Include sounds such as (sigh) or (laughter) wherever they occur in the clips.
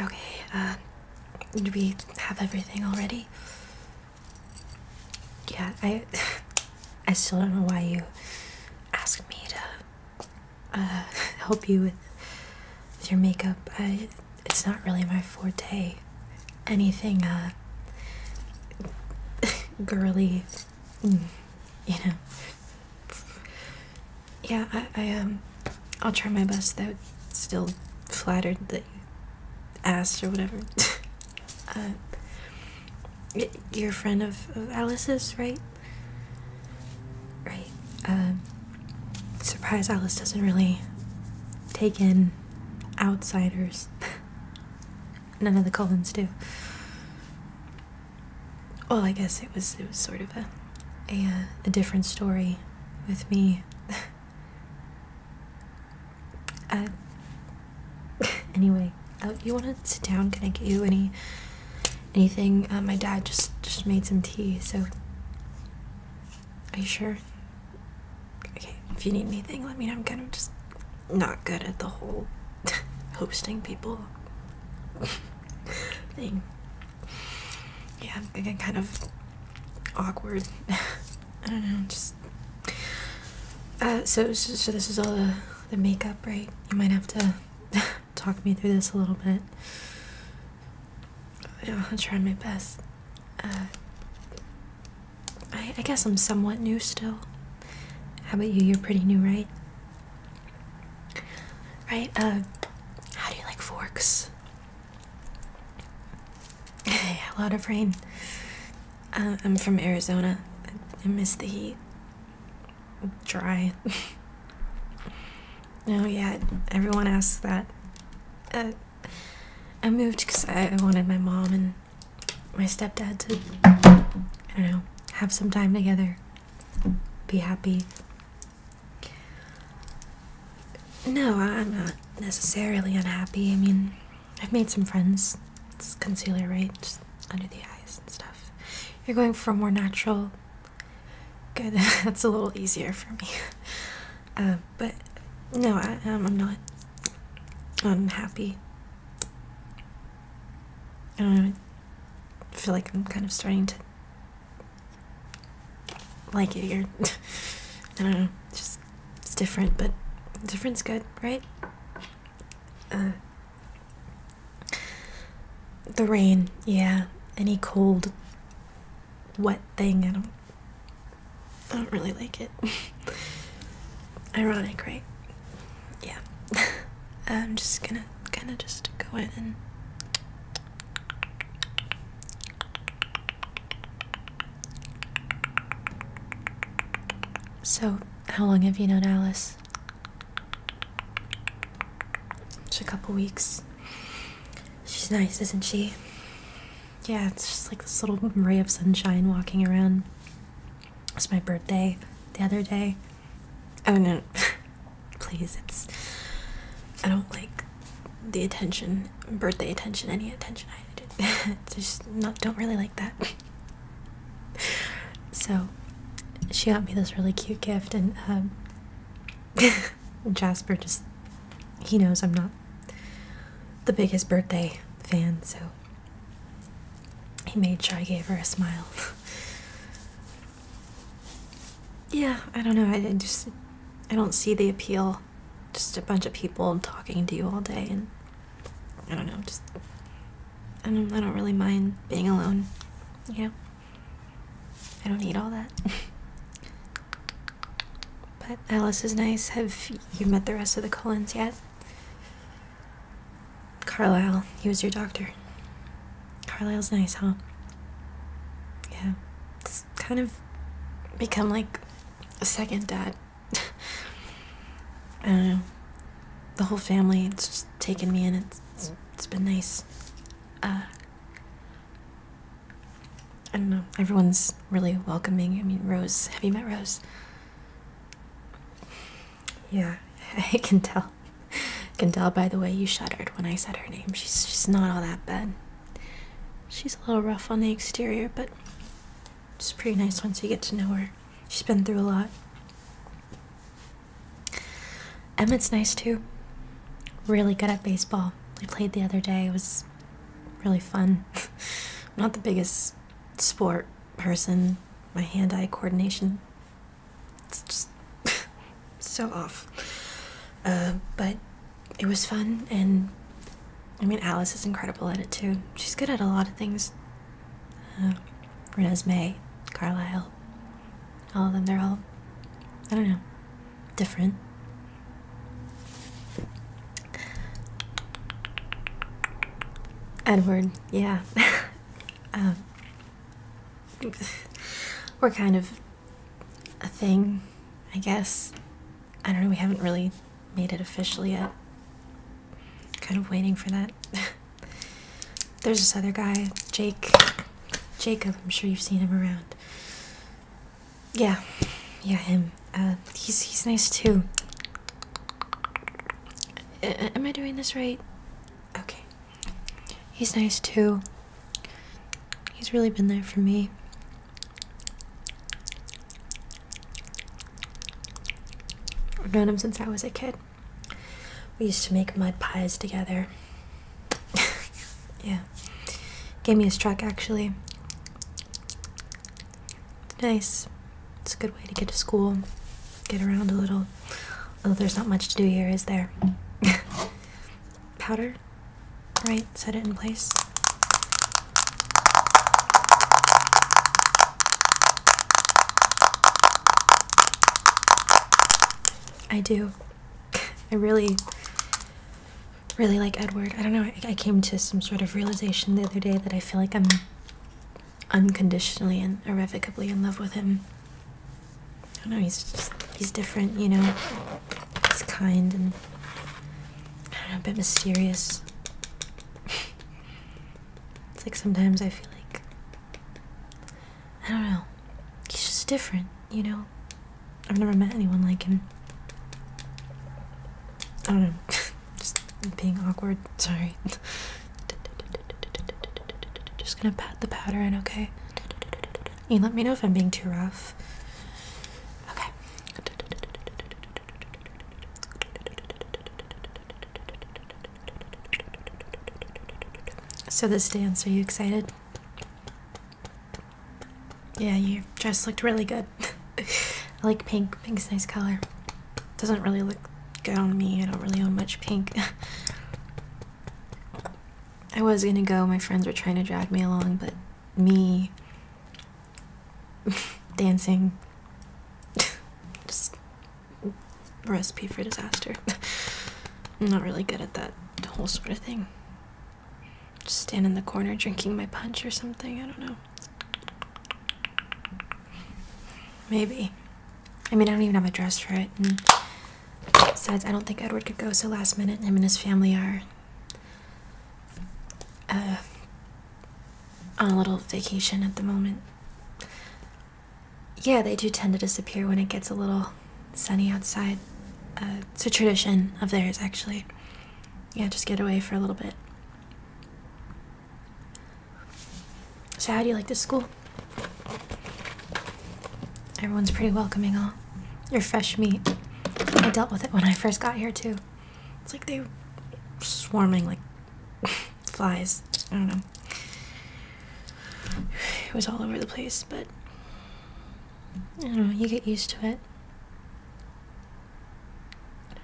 Okay, uh, do we have everything already? Yeah, I, (laughs) I still don't know why you asked me to uh, (laughs) help you with, your makeup. I, it's not really my forte. Anything uh, (laughs) girly, mm, you know yeah i i um i'll try my best though still flattered that you asked or whatever (laughs) uh, you friend of, of alice's right right um, surprise alice doesn't really take in outsiders (laughs) none of the collins do well i guess it was it was sort of a a, a different story with me. (laughs) uh, (laughs) anyway, uh, you want to sit down? Can I get you any anything? Uh, my dad just just made some tea, so are you sure? Okay, if you need anything, let me know. I'm kind of just not good at the whole (laughs) hosting people thing yeah, again, kind of awkward. (laughs) I don't know, just. Uh, so, this is all the, the makeup, right? You might have to (laughs) talk me through this a little bit. I'll try my best. Uh, I, I guess I'm somewhat new still. How about you? You're pretty new, right? Right? Um, how do you like forks? (laughs) a lot of rain. Uh, I'm from Arizona. I miss the heat. Dry. (laughs) Oh yeah, everyone asks that. Uh, I moved because I, I wanted my mom and my stepdad to, I don't know, have some time together, be happy, no, I'm not necessarily unhappy. I mean, I've made some friends. It's concealer, right? under the eyes and stuff. You're going for more natural. Good, (laughs) that's a little easier for me. (laughs) Uh, but no, I, um, I'm not unhappy. I don't I feel like I'm kind of starting to like it here. (laughs) I don't know. Just it's different, but different's good, right? Uh, the rain, yeah. Any cold, wet thing, I don't. I don't really like it. (laughs) Ironic, right? Yeah. (laughs) I'm just gonna kind of just go in and so, how long have you known Alice? Just a couple weeks. She's nice, isn't she? Yeah, it's just like this little ray of sunshine walking around. It's my birthday the other day. Oh no, (laughs) please it's i don't like the attention birthday attention any attention i (laughs) just not don't really like that so she got me this really cute gift um, (laughs) and jasper just he knows i'm not the biggest birthday fan so he made sure i gave her a smile yeah, I don't know. I, just I don't see the appeal. Just a bunch of people talking to you all day, and I don't know. Just I don't I don't really mind being alone. You know, I don't need all that. (laughs) but Alice is nice. Have you met the rest of the Collins yet? Carlisle, he was your doctor. Carlisle's nice, huh? Yeah. It's kind of become like a second dad. (laughs) I don't know. The whole family, it's just taken me in. It's, it's been nice. Uh, I don't know. Everyone's really welcoming. I mean, Rose, have you met Rose? Yeah, (laughs) I can tell. can tell by the way you shuddered when I said her name. She's, she's not all that bad she's a little rough on the exterior, but she's pretty nice once you get to know her. She's been through a lot. Emmett's nice too. Really good at baseball. We played the other day. It was really fun. (laughs) not the biggest sport person. My hand-eye coordination. It's just (laughs) so off. Uh, but it was fun, and I mean, Alice is incredible at it too. She's good at a lot of things. Uh, Renesmee, Carlyle, all of them, they're all, I don't know, different. Edward, yeah. (laughs) Um, we're kind of a thing, I guess. I don't know, we haven't really made it officially yet. Kind of waiting for that. (laughs) There's this other guy, Jake. Jacob, I'm sure you've seen him around. Yeah, yeah, him. Uh, he's he's nice too. am I doing this right? Okay. He's nice too. He's really been there for me. I've known him since I was a kid. We used to make mud pies together. (laughs) yeah. Gave me his truck actually. nice. It's a good way to get to school, get around a little. Although there's not much to do here, is there? (laughs) powder, right? Set it in place. I do. (laughs) I really, really like Edward. I don't know. I, came to some sort of realization the other day that I feel like I'm unconditionally and irrevocably in love with him. I don't know, he's just, he's different, you know. He's kind and, I don't know, a bit mysterious. it's like sometimes I feel like, I don't know, he's just different, you know. I've never met anyone like him. I don't know, (laughs) just being awkward, sorry. (laughs) Just gonna pat the powder in, okay? You let me know if I'm being too rough. Okay. So this dance, are you excited? Yeah, your dress looked really good. (laughs) I like pink. Pink's a nice color. Doesn't really look good on me. I don't really own much pink. (laughs) I was gonna go, my friends were trying to drag me along, but me (laughs) dancing (laughs) just recipe for disaster. (laughs) I'm not really good at that whole sort of thing. Just stand in the corner drinking my punch or something, I don't know. Maybe. I mean, I don't even have a dress for it, Besides, I don't think Edward could go so last minute. Him and his family are uh, on a little vacation at the moment. Yeah, they do tend to disappear when it gets a little sunny outside. Uh, it's a tradition of theirs, actually. Yeah, just get away for a little bit. So, how do you like the school? Everyone's pretty welcoming, all. Your fresh meat. I dealt with it when I first got here too. It's like they were swarming like (laughs) flies. I don't know. It was all over the place, but I know, you get used to it.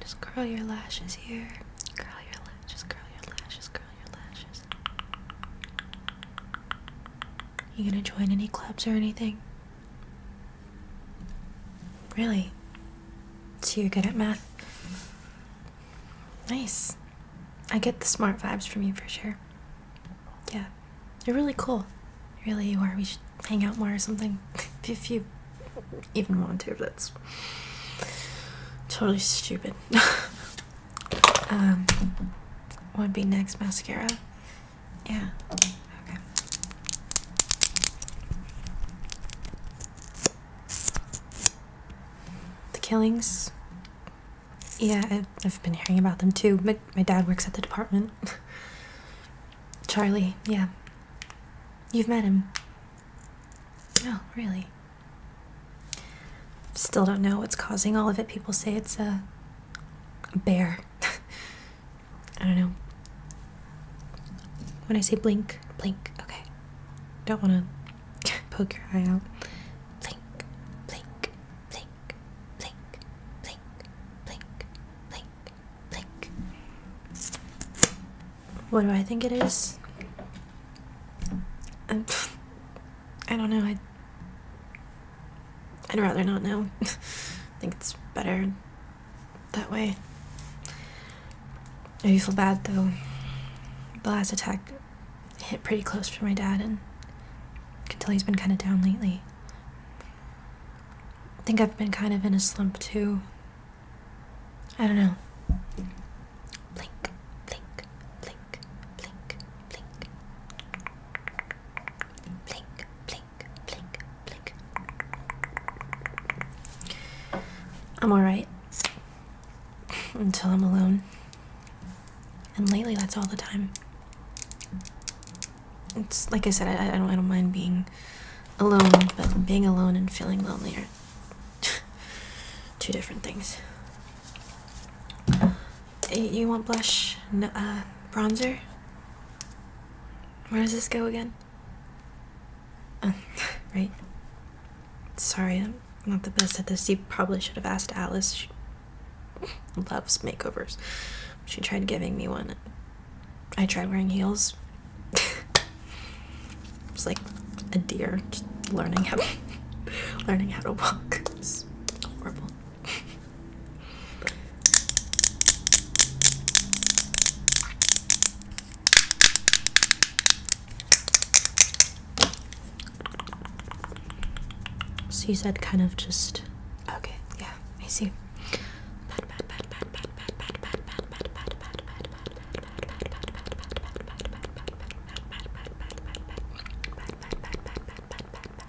Just curl your lashes here. Curl your lashes, curl your lashes, curl your lashes. You gonna join any clubs or anything? Really? So you're good at math? Nice. I get the smart vibes from you for sure. Yeah. You're really cool. Really, you are. We should hang out more or something. (laughs) if you even want to, that's totally stupid. (laughs) um, what would be next? Mascara? Yeah. Okay. The killings. Yeah, I've, been hearing about them too. My, my dad works at the department. (laughs) Charlie, yeah. You've met him. Oh, really? Still don't know what's causing all of it. People say it's a bear. (laughs) I don't know. When I say blink, blink, okay. Don't want to (laughs) poke your eye out. Blink, blink, blink, blink, blink, blink, blink, blink. What do I think it is? (laughs) I don't know. I I'd rather not know. (laughs) I think it's better that way. I do feel bad though. The last attack hit pretty close for my dad, and I can tell he's been kind of down lately. I think I've been kind of in a slump too. I don't know. Blink, blink, blink, blink, blink. Blink, I'm alright (laughs) until I'm alone. And lately, that's all the time. It's like I said, I, don't, I don't mind being alone, but being alone and feeling lonely are (laughs) two different things. You want blush? No, uh, bronzer? Where does this go again? (laughs) right. Sorry, I'm not the best at this. You probably should have asked Alice. She (laughs) loves makeovers. She tried giving me one. I tried wearing heels. (laughs) it's like a deer learning how to learning how to walk. horrible so you said kind of just okay, yeah, I see.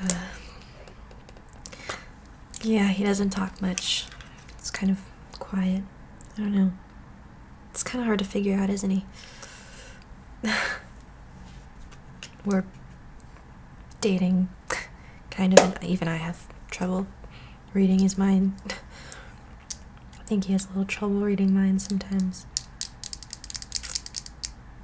Uh, yeah, he doesn't talk much. It's kind of quiet. I don't know. It's kind of hard to figure out, isn't he? (laughs) We're dating, kind of, even I have trouble reading his mind. (laughs) I think he has a little trouble reading mine sometimes.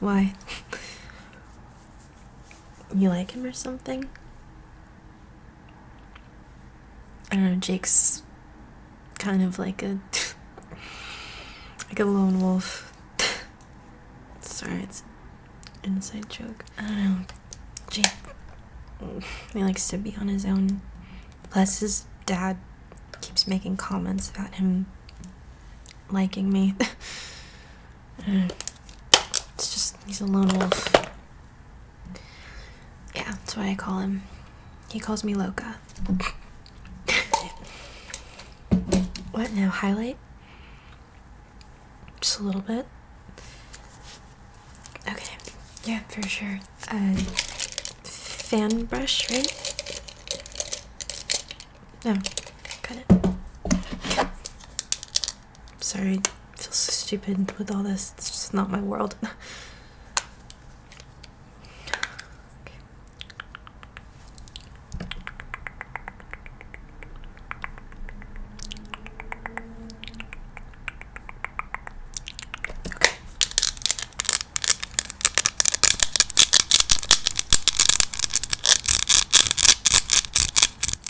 Why? you like him or something? I don't know, Jake's kind of like a (laughs) like a lone wolf. (laughs) Sorry, it's an inside joke. I don't know. Jake he likes to be on his own. Plus his dad keeps making comments about him liking me. (laughs) it's just, he's a lone wolf. Yeah, that's why I call him. He calls me Loca. (laughs) what now? Highlight? Just a little bit. Okay. Yeah, for sure. Uh, fan brush, right? No, cut it. Sorry, I feel so stupid with all this. It's just not my world. (laughs)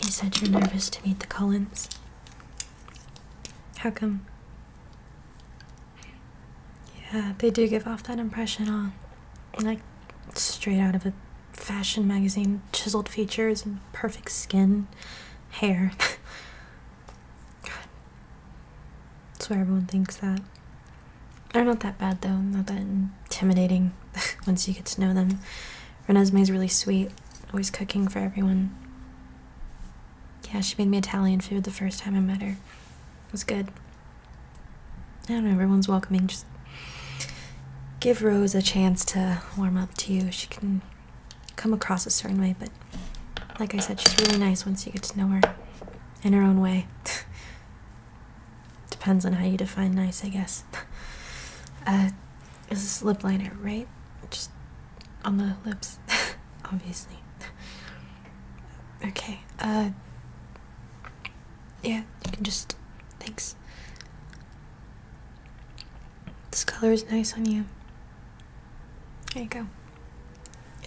You said you're nervous to meet the Collins. How come? Yeah, they do give off that impression, huh? Like, straight out of a fashion magazine, chiseled features and perfect skin, hair. (laughs) God. That's why everyone thinks that. They're not that bad though, not that intimidating (laughs) once you get to know them. Renesme is really sweet, always cooking for everyone. Yeah, she made me Italian food the first time I met her. It was good. I don't know, everyone's welcoming. Just give Rose a chance to warm up to you. She can come across a certain way, but like I said, she's really nice once you get to know her in her own way. (laughs) Depends on how you define nice, I guess. (laughs) Uh, is this lip liner, right? Just on the lips, (laughs) obviously. okay, uh, yeah, you can just, thanks. This color is nice on you. There you go.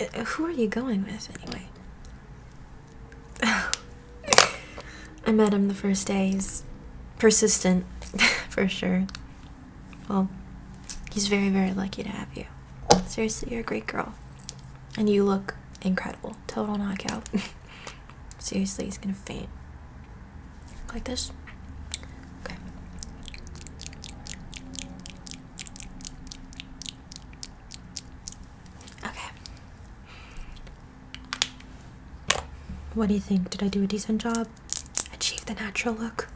Uh, who are you going with, anyway? (laughs) I met him the first day. He's persistent, (laughs) for sure. Well, he's very, very lucky to have you. Seriously, you're a great girl. And you look incredible. Total knockout. (laughs) Seriously, he's gonna faint. Like this? Okay. Okay. What do you think? Did I do a decent job? Achieve the natural look?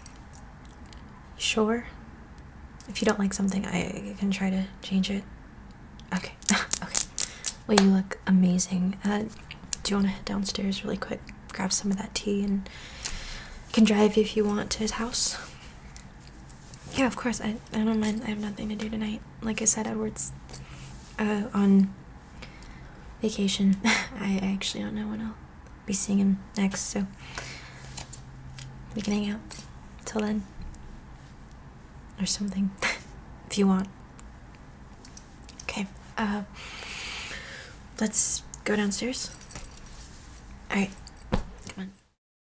(laughs) sure. If you don't like something, I can try to change it. Okay. (laughs) okay. Well, you look amazing. Uh, do you want to head downstairs really quick? Grab some of that tea and can drive if you want to his house. Yeah, of course. I, I don't mind. I have nothing to do tonight. Like I said, Edward's uh, on vacation. (laughs) I, actually don't know when I'll be seeing him next, so we can hang out till then. Or something. (laughs) if you want. Okay. Uh, let's go downstairs. Alright. Come on.